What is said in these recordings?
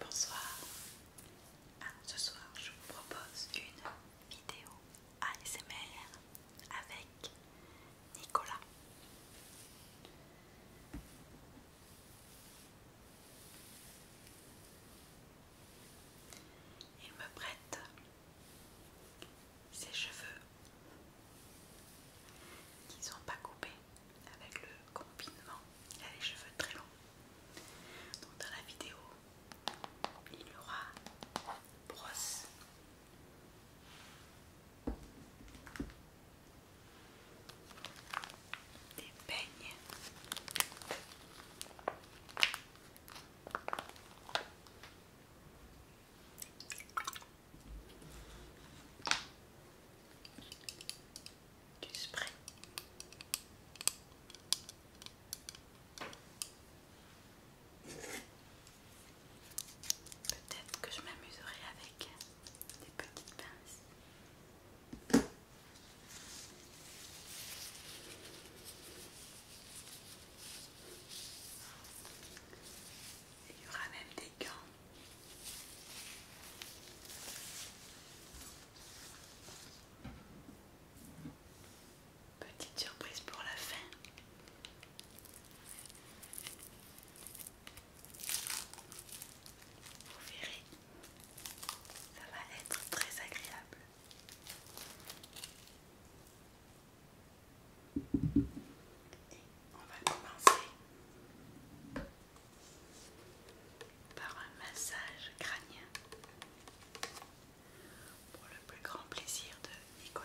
Bonsoir. Ah, ce soir, je vous propose une vidéo ASMR avec Nicolas. Il me prête ses cheveux qui sont pas coupés avec le confinement. Il a les cheveux très longs. dans la vidéo, il y aura brosse. Des peignes du spray. Peut-être que je m'amuserai avec des petites pinces. Il y aura même des gants. Petite surprise pour la fin. Vous verrez, ça va être très agréable on va commencer par un massage crânien pour le plus grand plaisir de Nicolas.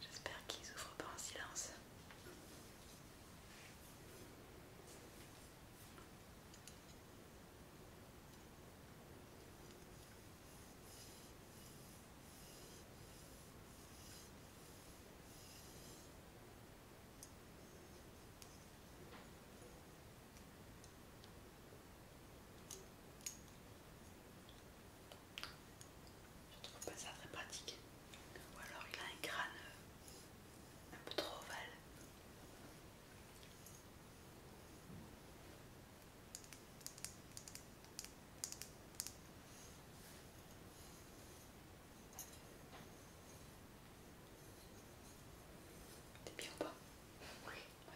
J'espère qu'ils s'ouvrent pas un silence. Je trouve pas ça très pratique. Ou alors il a un crâne euh, un peu trop ovale. T'es bien ou pas Oui. Ouais.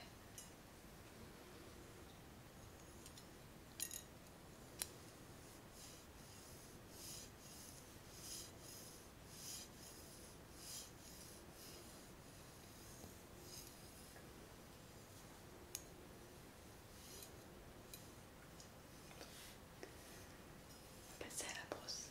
On passer à la brosse.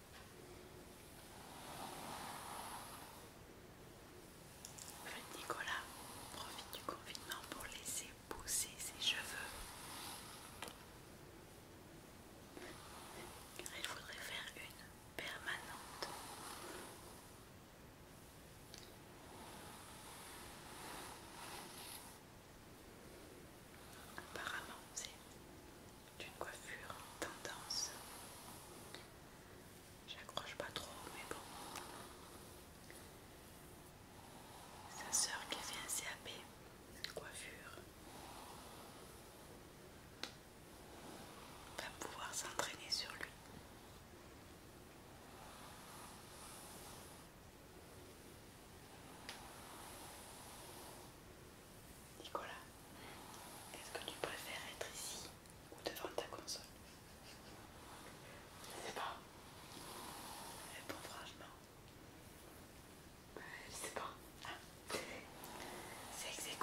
Nicolas profite du confinement pour laisser pousser ses cheveux. il faudrait faire une permanente. Apparemment, c'est d'une coiffure tendance. J'accroche pas trop, mais bon. Sa sœur qui vient fait un CAP coiffure va pouvoir s'entraîner sur lui. Nicolas, est-ce que tu préfères être ici ou devant ta console Je sais pas. Eh ben, franchement. je sais pas. Ah. C'est ex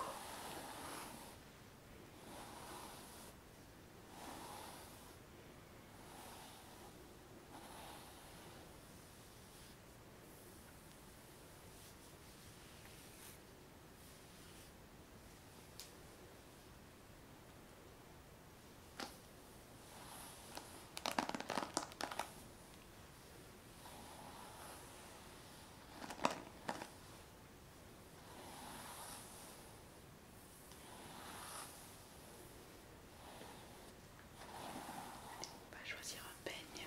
va choisir un peigne.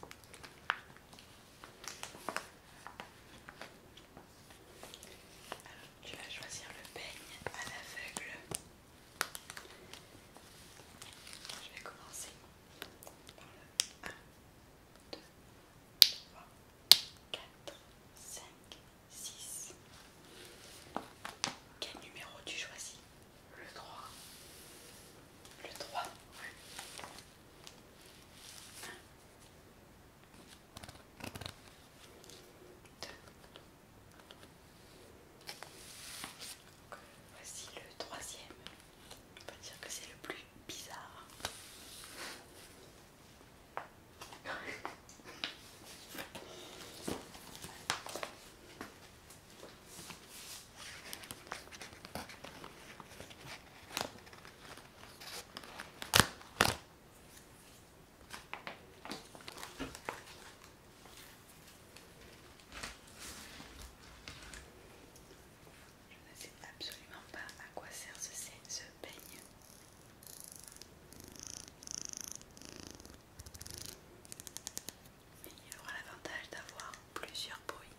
Alors, tu vas choisir le peigne à l'aveugle. Je vais commencer par le 1, 2, 3, 4, 5, 6. Quel numéro tu choisis Le 3. Le 3, oui voici le troisième. On peut dire que c'est le plus bizarre. Je ne sais absolument pas à quoi sert ce, peigne. Mais il aura l'avantage d'avoir plusieurs bruits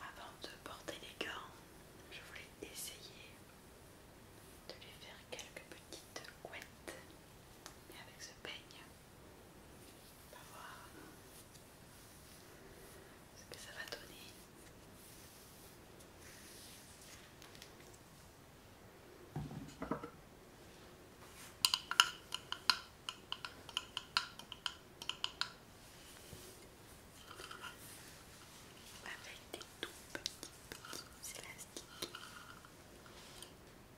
Avant de porter les gants, je voulais essayer de lui faire quelques petites couettes. Mais avec ce peigne, on va voir ce que ça va donner. Avec des tout petits petits élastiques.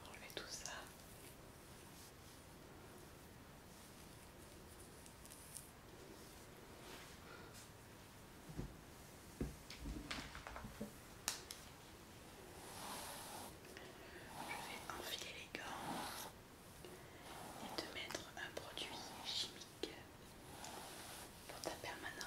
Enlever tout ça. Je vais enfiler les gants et te mettre un produit chimique pour ta permanente.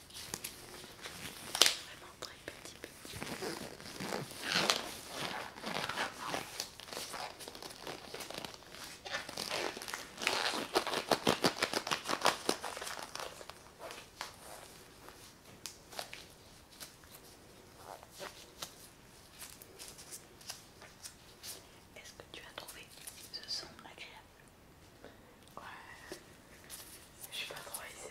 Vraiment très petit, petit. Est-ce que tu as trouvé ce son agréable Ouais, je suis pas trop ASMR.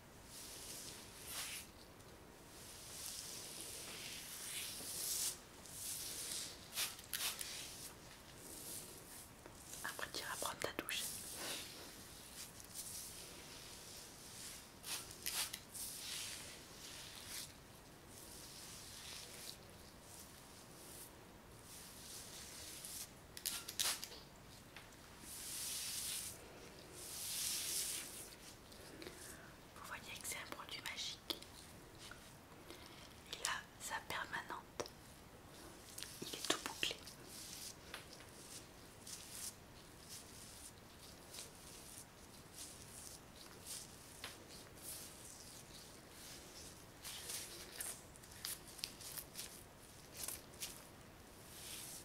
Après tu iras prendre ta douche. Vous voyez que c'est un produit magique. Il a sa permanente. Il est tout bouclé.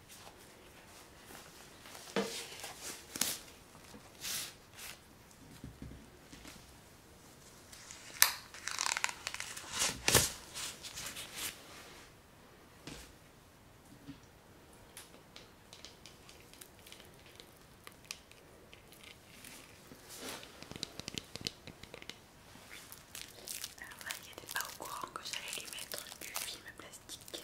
Ah il n'était pas au courant que j'allais les mettre du film plastique.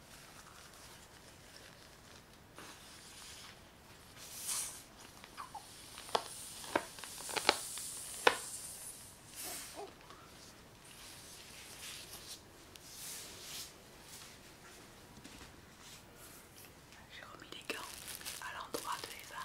J'ai remis les gants à l'endroit de Eva.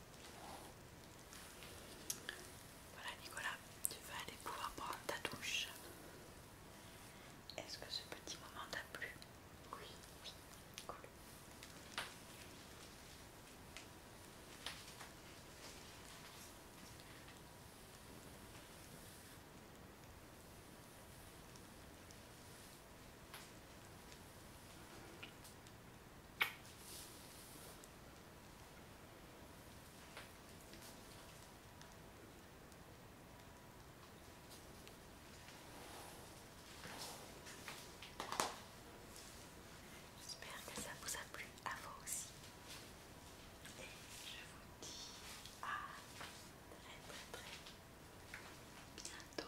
Voilà Nicolas, tu vas aller pouvoir prendre ta douche. Est-ce que ce petit moment t'a plu Oui, oui, cool. J'espère que ça vous a plu à vous aussi. Et je vous dis à très très très bientôt.